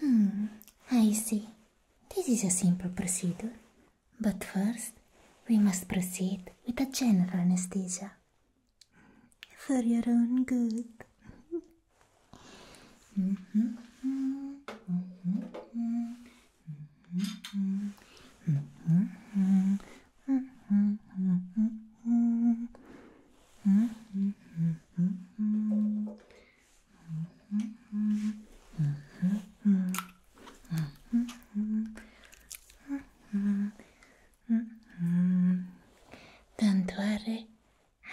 Hmm, I see. This is a simple procedure. But first, we must proceed with a general anesthesia. For your own good. Don't worry,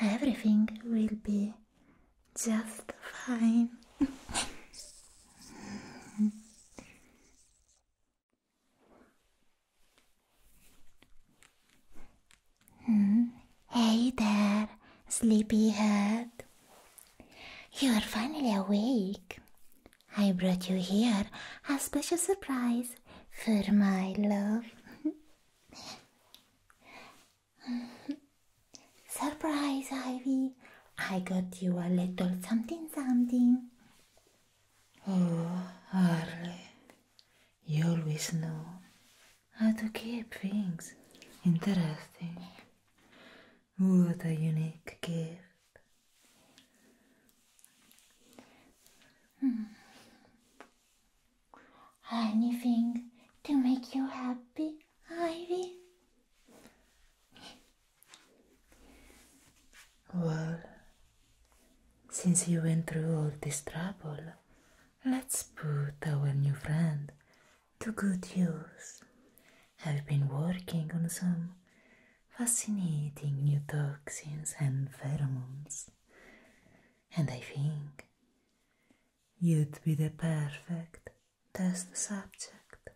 everything will be just fine. Hmm. Hey there, sleepyhead. You are finally awake. I brought you here a special surprise for my love. surprise, Ivy. I got you a little something something. Oh, Harley, you always know how to keep things interesting. What a unique gift. Hmm. Anything to make you happy, Ivy? Well, since you went through all this trouble, let's put our new friend to good use. I've been working on some fascinating new toxins and pheromones, and I think you'd be the perfect test subject.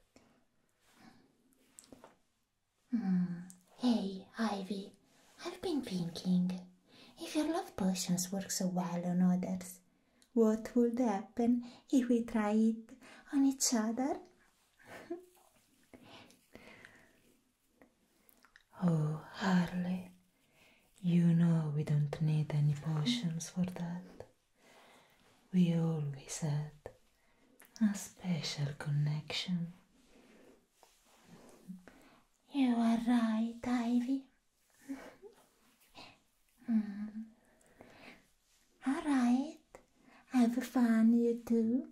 Mm. Hey, Ivy, I've been thinking, if your love potions work so well on others, what would happen if we try it on each other? oh, Harley, you know we don't need any potions for that. We always had a special connection. You are right, Ivy. mm. Mm-hmm. Alright, have fun, you two.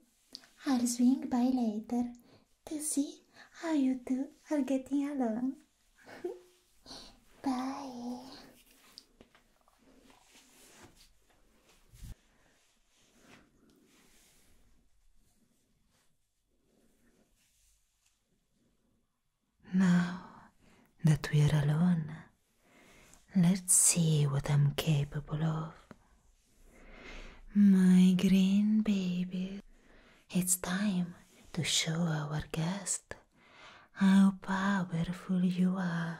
I'll swing by later to see how you two are getting along. Bye. Now that we are alone, let's see what I'm capable of. My green baby, it's time to show our guest how powerful you are.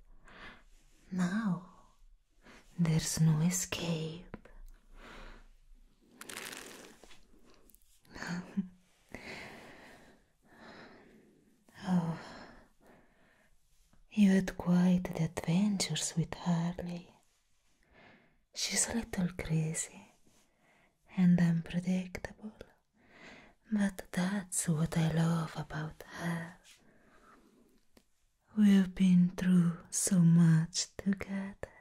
Now there's no escape. oh, you had quite the adventures with Harley. She's a little crazy and unpredictable. But that's what I love about her. We've been through so much together,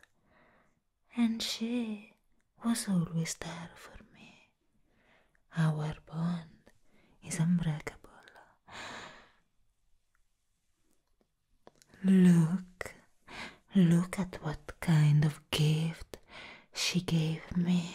and she was always there for me. Our bond is unbreakable. Look, look at what kind of gift she gave me.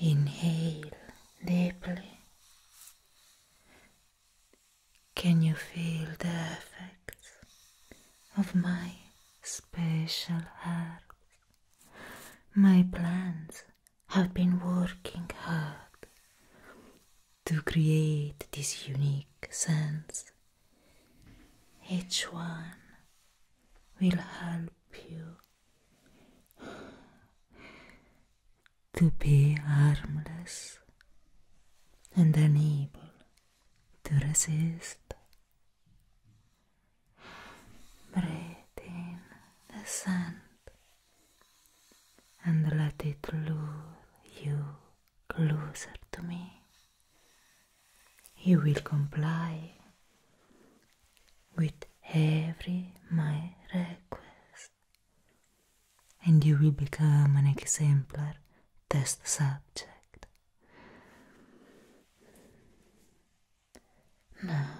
Inhale deeply. Can you feel the effects of my special herbs? My plants have been working hard to create this unique sense. Each one will help you to be harmless and unable to resist. Breathe in the sand and let it lure you closer to me. You will comply with every my request, and you will become an exemplar test subject. Now.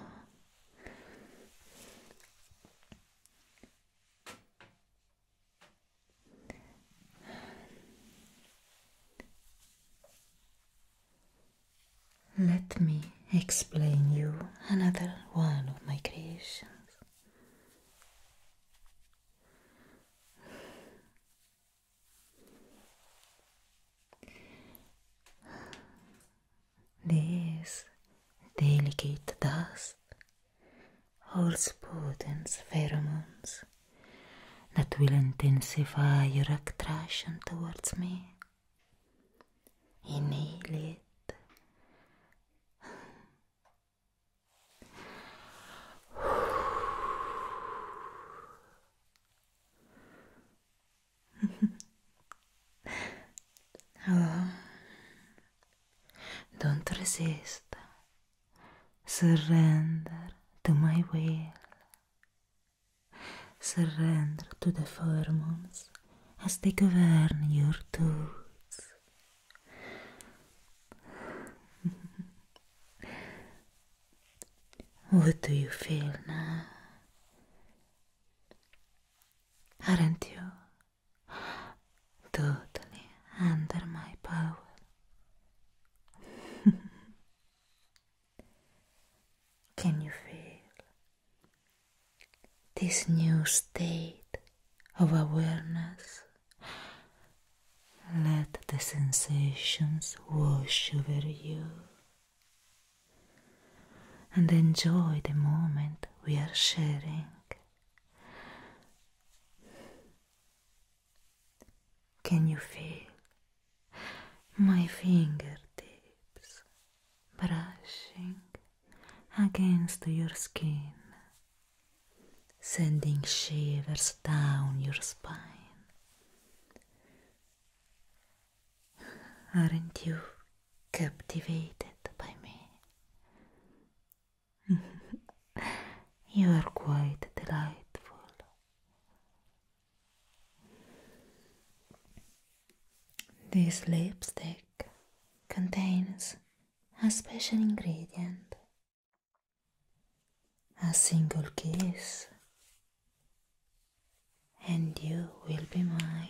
Let me explain you another one of my creations. This delicate dust holds poten's pheromones that will intensify your attraction towards me. Inhale it. oh, Don't resist. Surrender to my will. Surrender to the hormones as they govern your thoughts. what do you feel now? Aren't you totally under my power. Can you feel this new state of awareness? Let the sensations wash over you and enjoy the moment we are sharing. Can you feel my fingertips brushing against your skin, sending shivers down your spine? Aren't you captivated by me? you are quite delightful. This lipstick contains a special ingredient a single kiss, and you will be mine.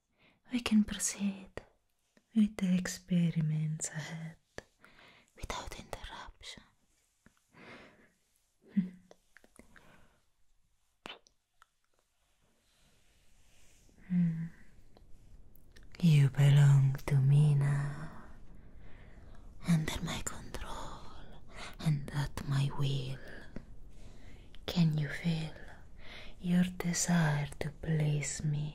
we can proceed with the experiments ahead without interruption. Hmm. You belong to me now, under my control and at my will. Can you feel your desire to please me?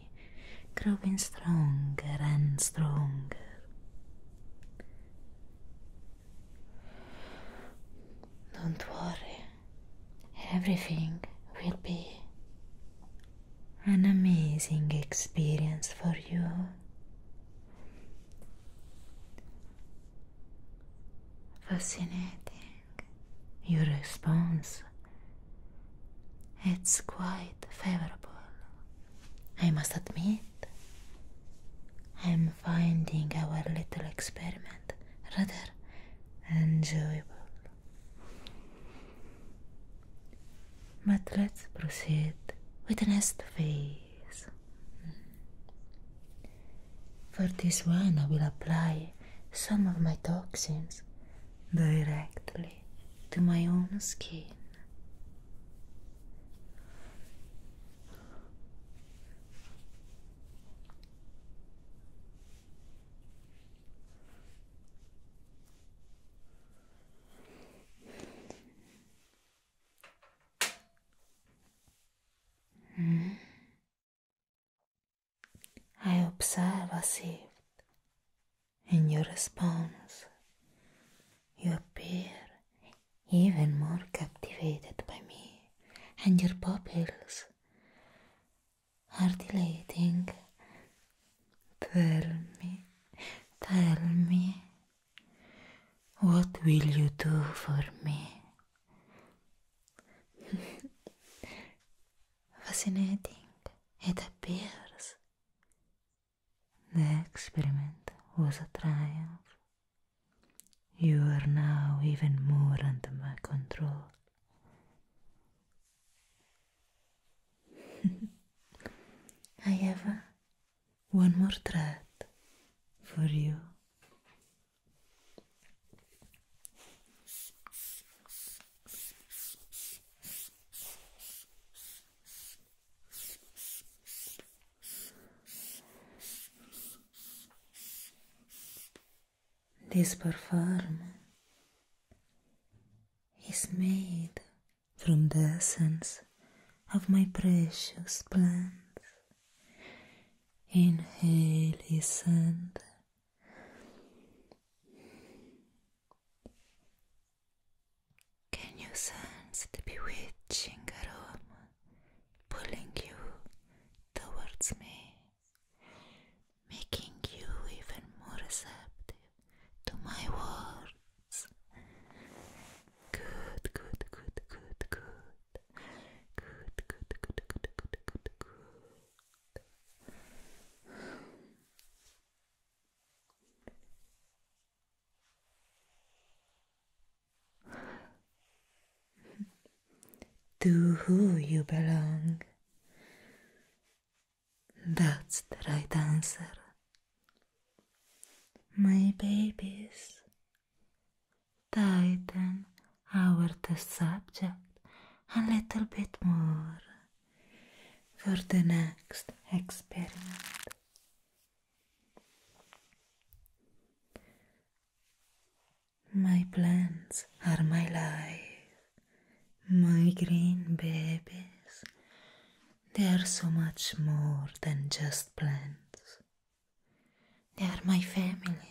growing stronger and stronger. Don't worry, everything will be an amazing experience for you. Fascinating your response. It's quite favorable. I must admit, I'm finding our little experiment rather enjoyable. But let's proceed with the next phase. For this one, I will apply some of my toxins directly to my own skin. Hmm? I observe a shift in your response. You appear even more captivated by me, and your pupils are dilating. Tell me, tell me, what will you do for me? fascinating. It appears. The experiment was a triumph. You are now even more under my control. I have uh, one more threat for you. This perform is made from the essence of my precious plants. Inhale, listen. Inhale. Can you sense the bewitching aroma pulling you towards me, making you even more receptive to my words? Good, good, good, good, good. Good, good, good, good, good, good, good. to who you belong that's the right answer my babies tighten our the subject a little bit more for the next experiment. My plants are my life, my green babies. They are so much more than just plants. They are my family.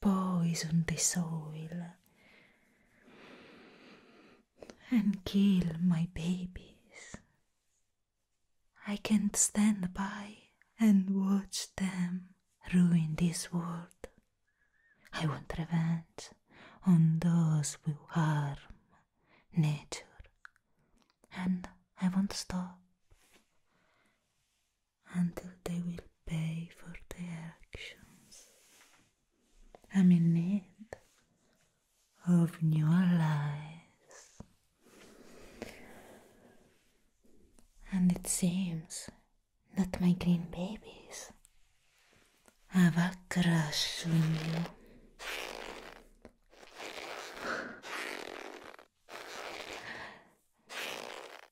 poison the soil and kill my babies. I can't stand by and watch them ruin this world. I want revenge on those who harm nature. And I won't stop. until they will pay for their actions. I'm in need of new allies. And it seems that my green babies have a crush on you.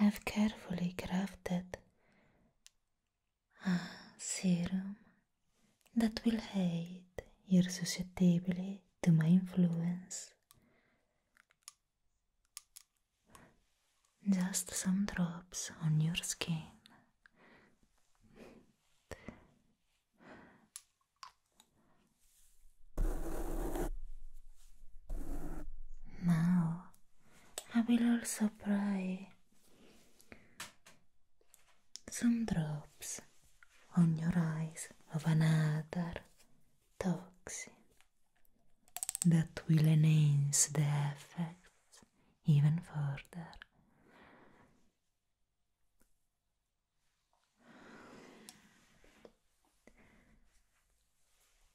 have carefully crafted a serum that will aid your susceptibility to my influence. Just some drops on your skin. Now mobilul să praie. Some drops on your eyes of another toxin that will enhance the effects even further.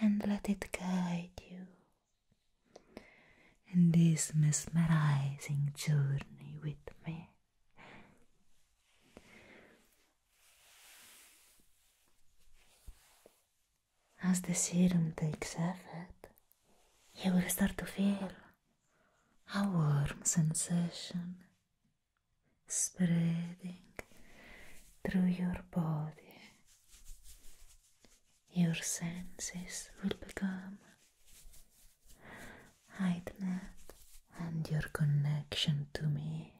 and let it guide you in this mesmerizing journey with me. As the serum takes effect, you will start to feel a warm sensation spreading through your body. Your senses will become heightened, and your connection to me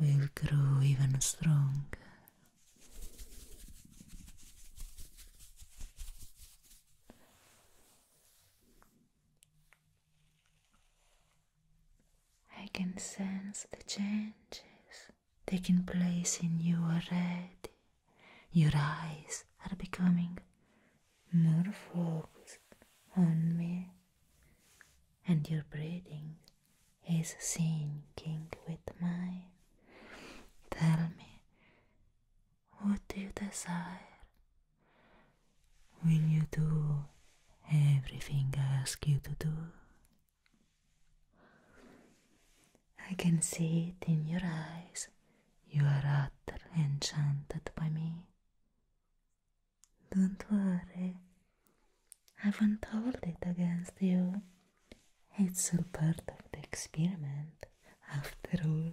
will grow even stronger. I can sense the changes taking place in you already. Your eyes are becoming more focused on me, and your breathing is sinking with mine. Tell me, what do you desire? Will you do everything I ask you to do. I can see it in your eyes. You are utterly enchanted by me. Don't worry, I won't hold it against you. It's all part of the experiment, after all.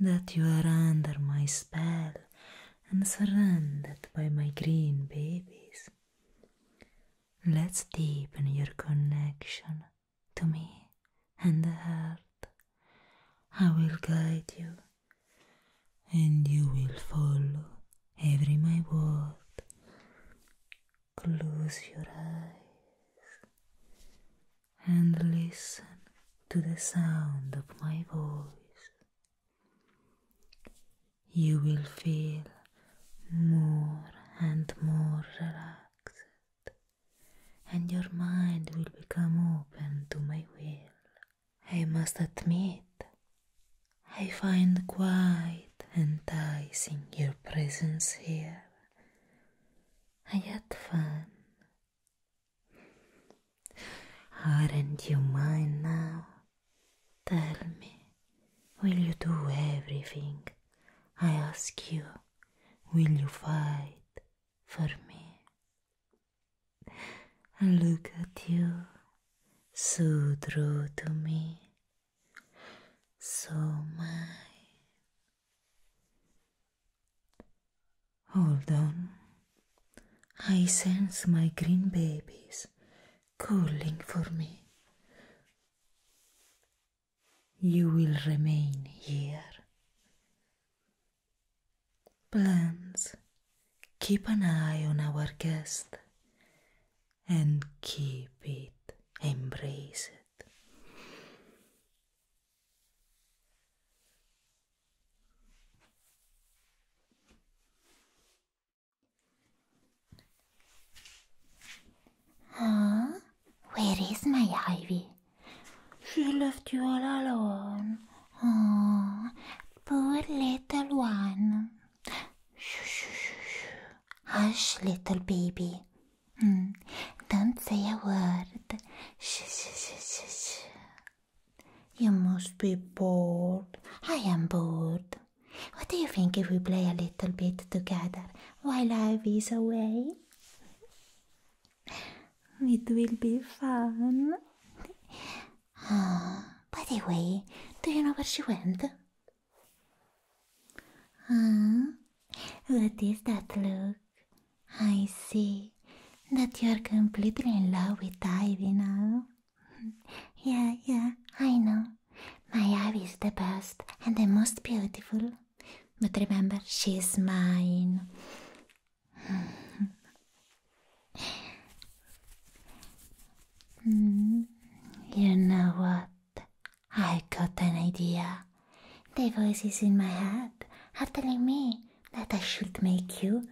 that you are under my spell and surrounded by my green babies. Let's deepen your connection to me and the heart. I will guide you and you will follow every my word. Close your eyes and listen to the sound of my voice. You will feel more and more relaxed, and your mind will become open to my will. I must admit, I find quite enticing your presence here. I had fun Aren't you mine now? Tell me, will you do everything I ask you? Will you fight for me? Look at you, so true to me, so mine. Hold on. I sense my green babies calling for me. You will remain here. Plants, keep an eye on our guest and keep it, embrace it. Huh? Where is my Ivy? She left you all alone. Oh, poor little one. Hush, little baby. Mm. Don't say a word. shh, shh, shh, shh. You must be bored. I am bored. What do you think if we play a little bit together while Ivy is away? It will be fun. Oh, by the way, do you know where she went? Huh? Ah, what is that look? I see that you're completely in love with Ivy now. yeah, yeah, I know. My Ivy is the best and the most beautiful. But remember, she's mine. Mm. you know what? I got an idea. The voices in my head are telling me that I should make you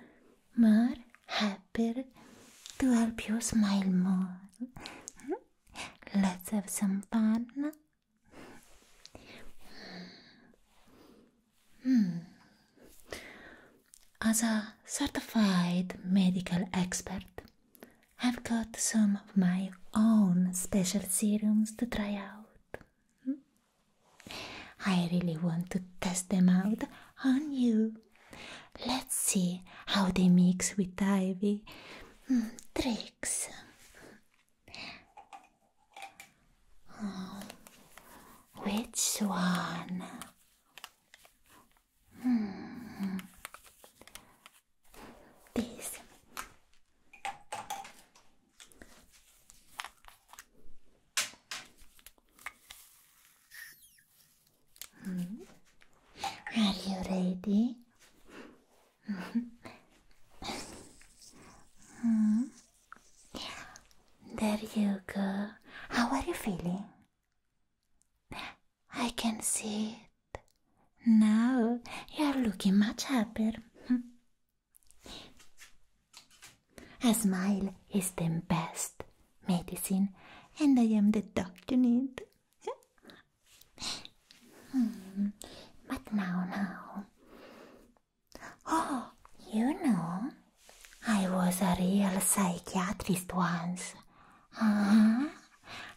more happier to help you smile more. Let's have some fun. Hmm. As a certified medical expert, I've got some of my own special serums to try out. Hmm? I really want to test them out on you. Let's see how they mix with ivy. Hmm, tricks. Hmm, which one? Hmm, this. Are you ready? Mm-hmm. There you go. How are you feeling? I can see it. Now you're looking much happier. A smile is the best medicine, and I am the doctor you need. Hmm, but now, now. Oh, you know, I was a real psychiatrist once. uh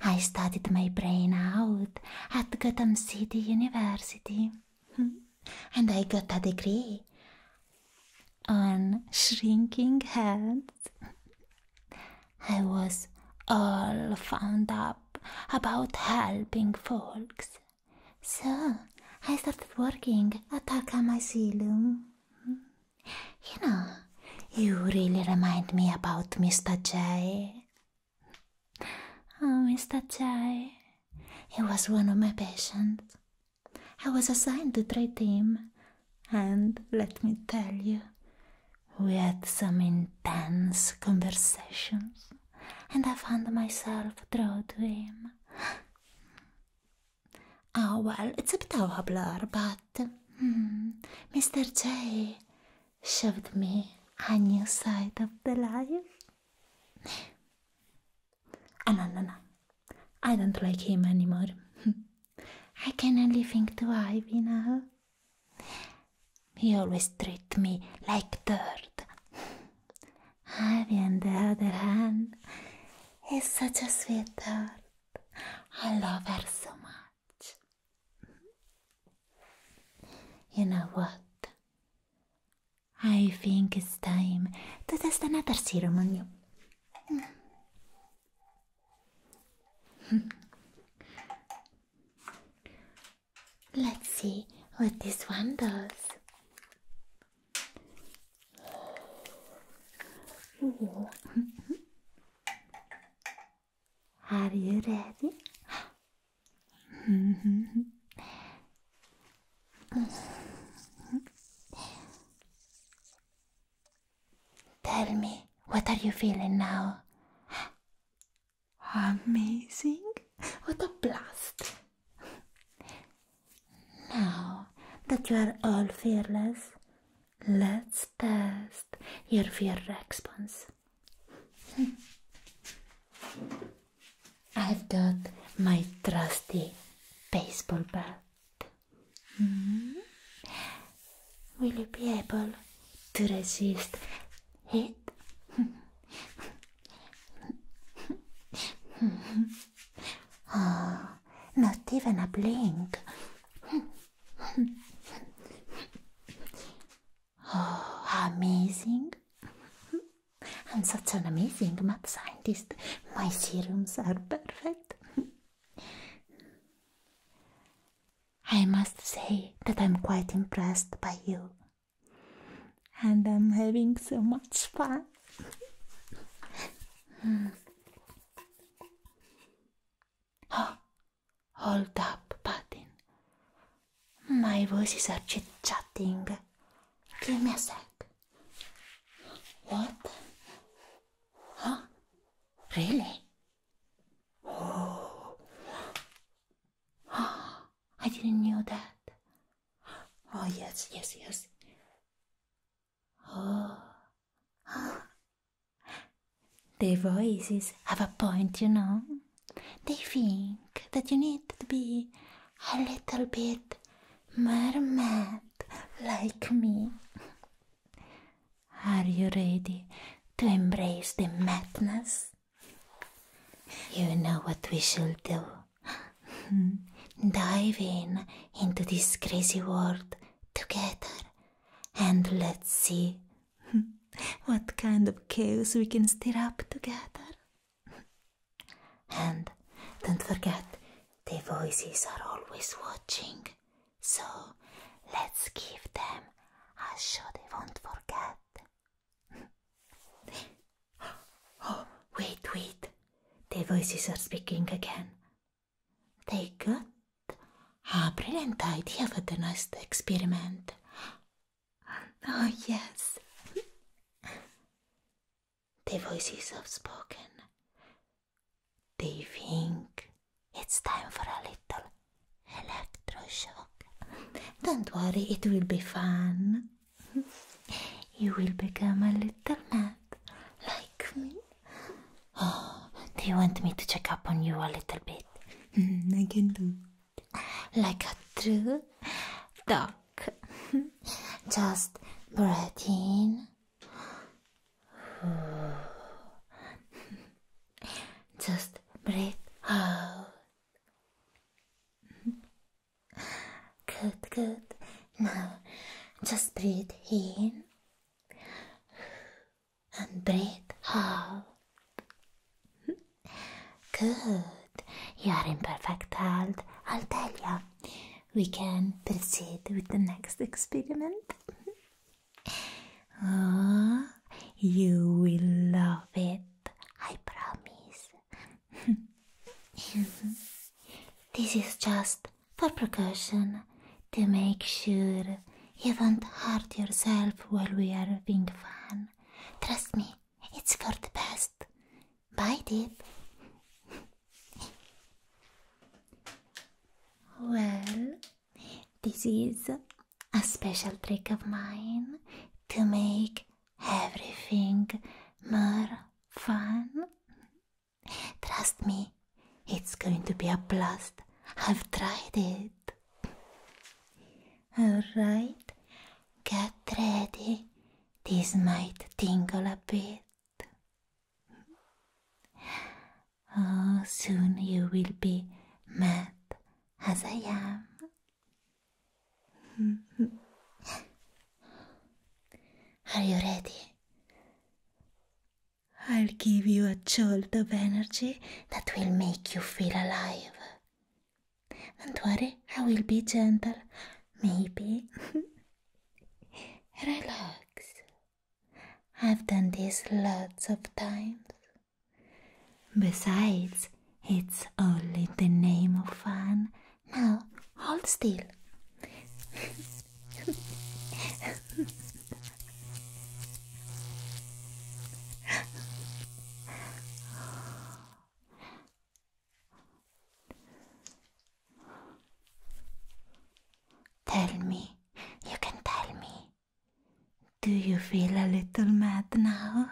I studied my brain out at Gotham City University. Hmm and I got a degree on shrinking heads. I was all found up about helping folks. So I started working at Akam Asylum. You know, you really remind me about Mr. J. Oh, Mr. J. He was one of my patients. I was assigned to trade team, and let me tell you, we had some intense conversations, and I found myself drawn to him. Oh well, it's a bit of a blur, but hmm, Mr. J showed me a new side of the life. Ananana. I don't like him anymore. I can only think twice, Ivy now. He always treats me like dirt. Ivy, on the other hand, is such a sweetheart. I love her so much. You know what? I think it's time to test another serum on you. Let's see what this one does. Are you ready? Tell me, what are you feeling now? Amazing! What a blast! now that you are all fearless, let's test your fear response. I've got my trusty baseball bat. Hmm? Will you be able to resist it? oh, not even a blink. oh, amazing. I'm such an amazing math scientist. My serums are perfect. I must say that I'm quite impressed by you. And I'm having so much fun. oh, hold up, Patin. My voices are chit chatting. Give me a sec. What? Huh? Really? Oh. oh, I didn't know that. Oh, yes, yes, yes. Oh. oh. The voices have a point, you know. They think that you need to be a little bit mermaid like me. Are you ready to embrace the madness? You know what we shall do. Dive in into this crazy world together and let's see what kind of chaos we can stir up together and don't forget, the voices are always watching, so let's give them a show they won't forget. oh, wait, wait, the voices are speaking again. They got a brilliant idea for the next experiment. Oh, yes. The voices have spoken. They think it's time for a little electroshock. Don't worry, it will be fun. you will become a little mad, like me. Oh, do you want me to check up on you a little bit? Mm, I can do. Like a true dog. Just breathe in. Just breathe out. Good, good. Now just breathe in and breathe out. Good. You are in perfect health, I'll tell you we can proceed with the next experiment. oh, you will love it, I promise. this is just for precaution to make sure you won't hurt yourself while we are having fun. Trust me, it's for the best. Bye, Deep. well, this is a special trick of mine to make everything more fun. Trust me, it's going to be a blast. I've tried it. Alright, get ready. This might tingle a bit. Mm-hmm. Oh, soon you will be mad as I am. Mm-hmm. Are you ready? I'll give you a jolt of energy that will make you feel alive. Don't worry, I will be gentle. Maybe Relax. I've done this lots of times. Besides, it's only the name of fun. Now, hold still. Tell me, you can tell me. Do you feel a little mad now?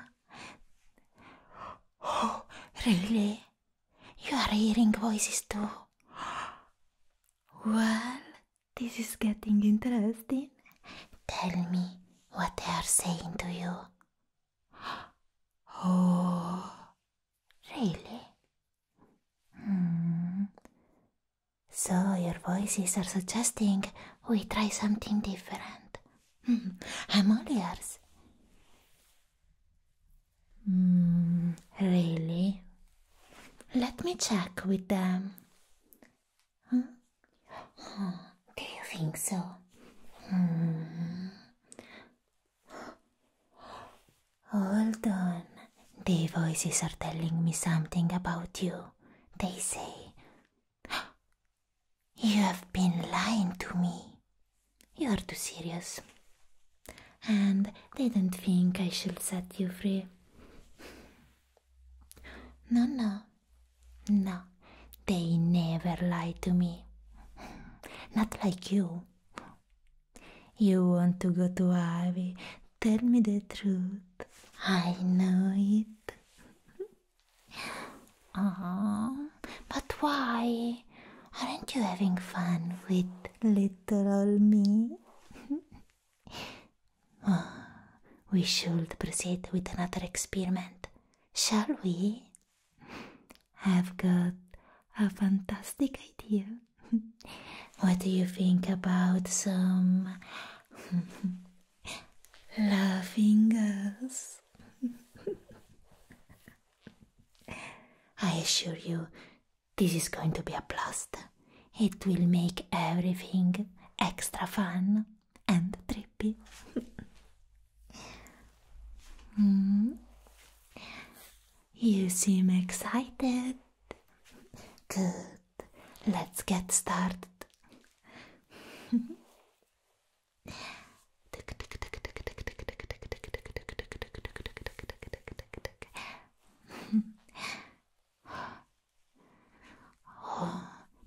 Oh, really? You are hearing voices too. Well, this is getting interesting. Tell me what they are saying to you. Oh, Really? Hmm. So your voices are suggesting we try something different. Hmm. I'm all ears. Hmm. Really? Let me check with them. do you think so? Hold on. The voices are telling me something about you. They say, You have been lying to me. You are too serious. And they don't think I shall set you free. No, no. No. They never lie to me. Not like you. You want to go to Ivy? Tell me the truth. I know it. Aww, but why? Aren't you having fun with little old me? oh, we should proceed with another experiment, shall we? i have got a fantastic idea. what do you think about some laughing us? I assure you, this is going to be a blast. It will make everything extra fun and trippy. mm. You seem excited. Good. Let's get started.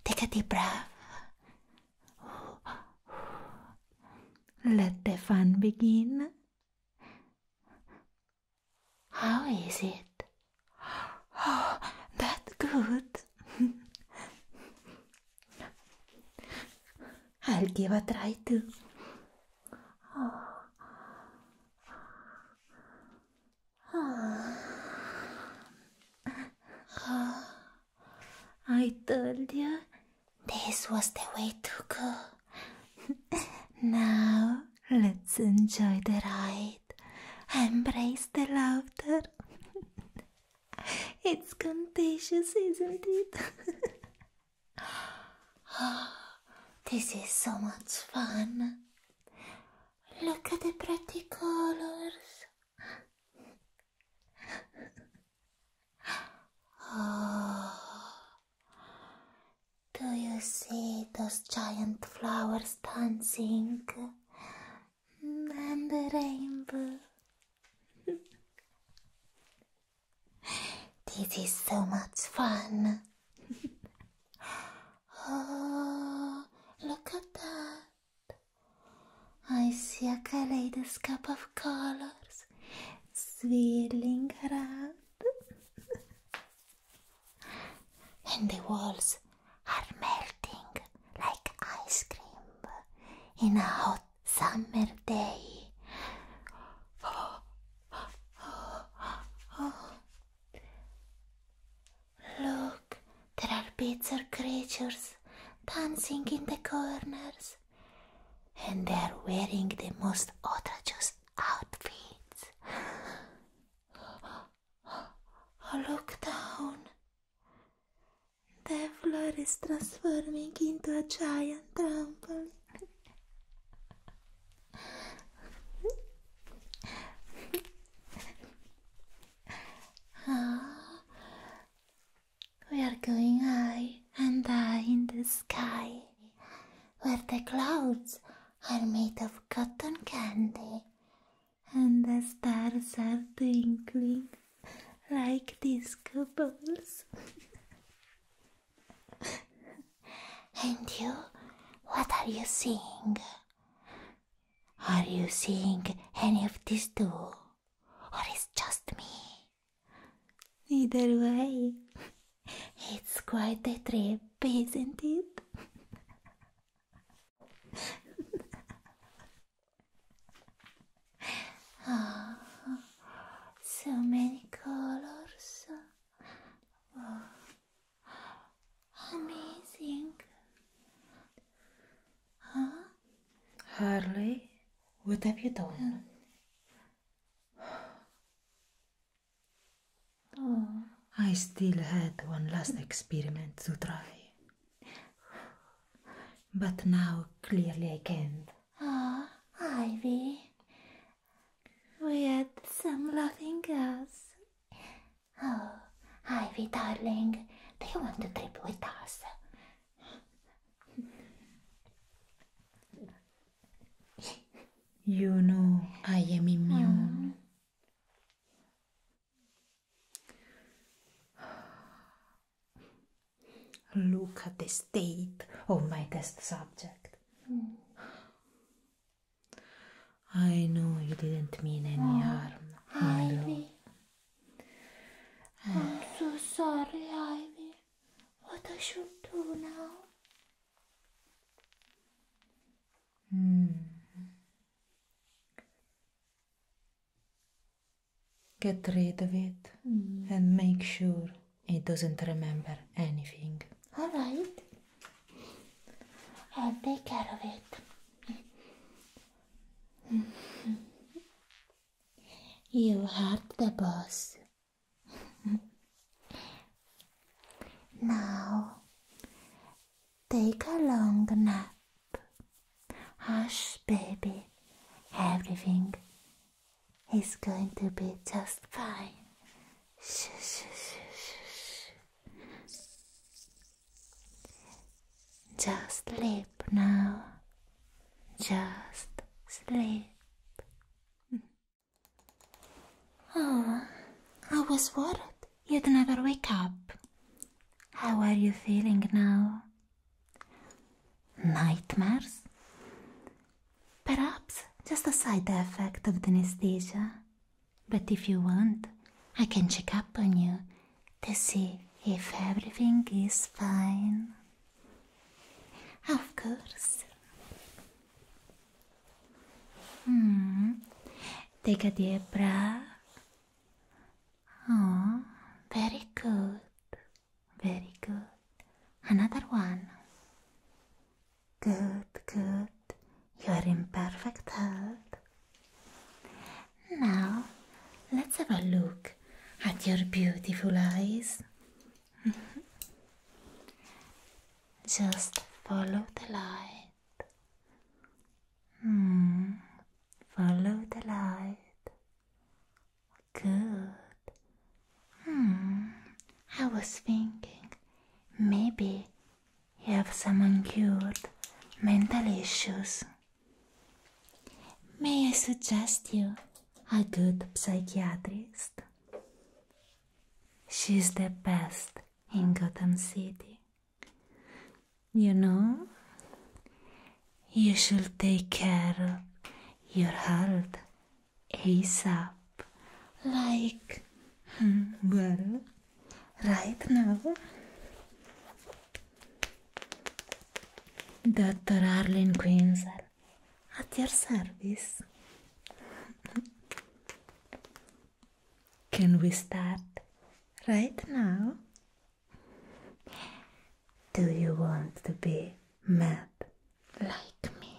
take a deep breath. Let the fun begin. How is it? Oh, that good. I'll give a try too. Oh. I told you this was the way to go. now let's enjoy the ride. Embrace the laughter. it's contagious, isn't it? this is so much fun. Look at the pretty colors. oh, Do you see those giant flowers dancing? And the rainbow. this is so much fun. oh, look at that. I see a kaleidoscope of colors swirling around. and the walls are melting like ice cream in a hot summer day. Look, there are pizza creatures dancing in the corners and they are wearing the most outrageous outfits. Look down. The floor is transforming into a giant trampoline. ah, we are going high and I in the sky, where the clouds are made of cotton candy, and the stars are twinkling like disco balls. and you, what are you seeing? Are you seeing any of these too? Or is just me? Either way, it's quite a trip, isn't it? oh, so many colors. Oh, amazing. Huh? Harley, what have you done? Um, I still had one last experiment to try. But now clearly I can't. Ah, Ivy. We had some loving girls. Oh, Ivy, darling, do you want to trip with us? You know I am immune. Look at the state of my test subject. I know you didn't mean any oh. harm. I'm so sorry, Ivy. What I should do now? Hmm. Get rid of it hmm. and make sure it doesn't remember anything. All right. I'll take care of it. you hurt the boss. now take a long nap. Hush, baby, everything is going to be just fine. Shh, shh, shh, shh. Just sleep now. Just sleep. Oh, I was worried you'd never wake up. How are you feeling now? Nightmares? Perhaps just a side effect of the anesthesia. But if you want, I can check up on you to see if everything is fine. Of course. Hmm. take a diebra oh, very good very good another one good good your imperfect hert now let's are look at your beautiful eyes Just follow the light. Hmm. Follow the light. Good. Hmm. I was thinking maybe you have some uncured mental issues. May I suggest you a good psychiatrist? She's the best in Gotham City. You know, you should take care of your health ASAP. Like, hmm, well, right now, Dr. Arlene Quinzel. at your service. Can we start right now? Do you want to be mad like me?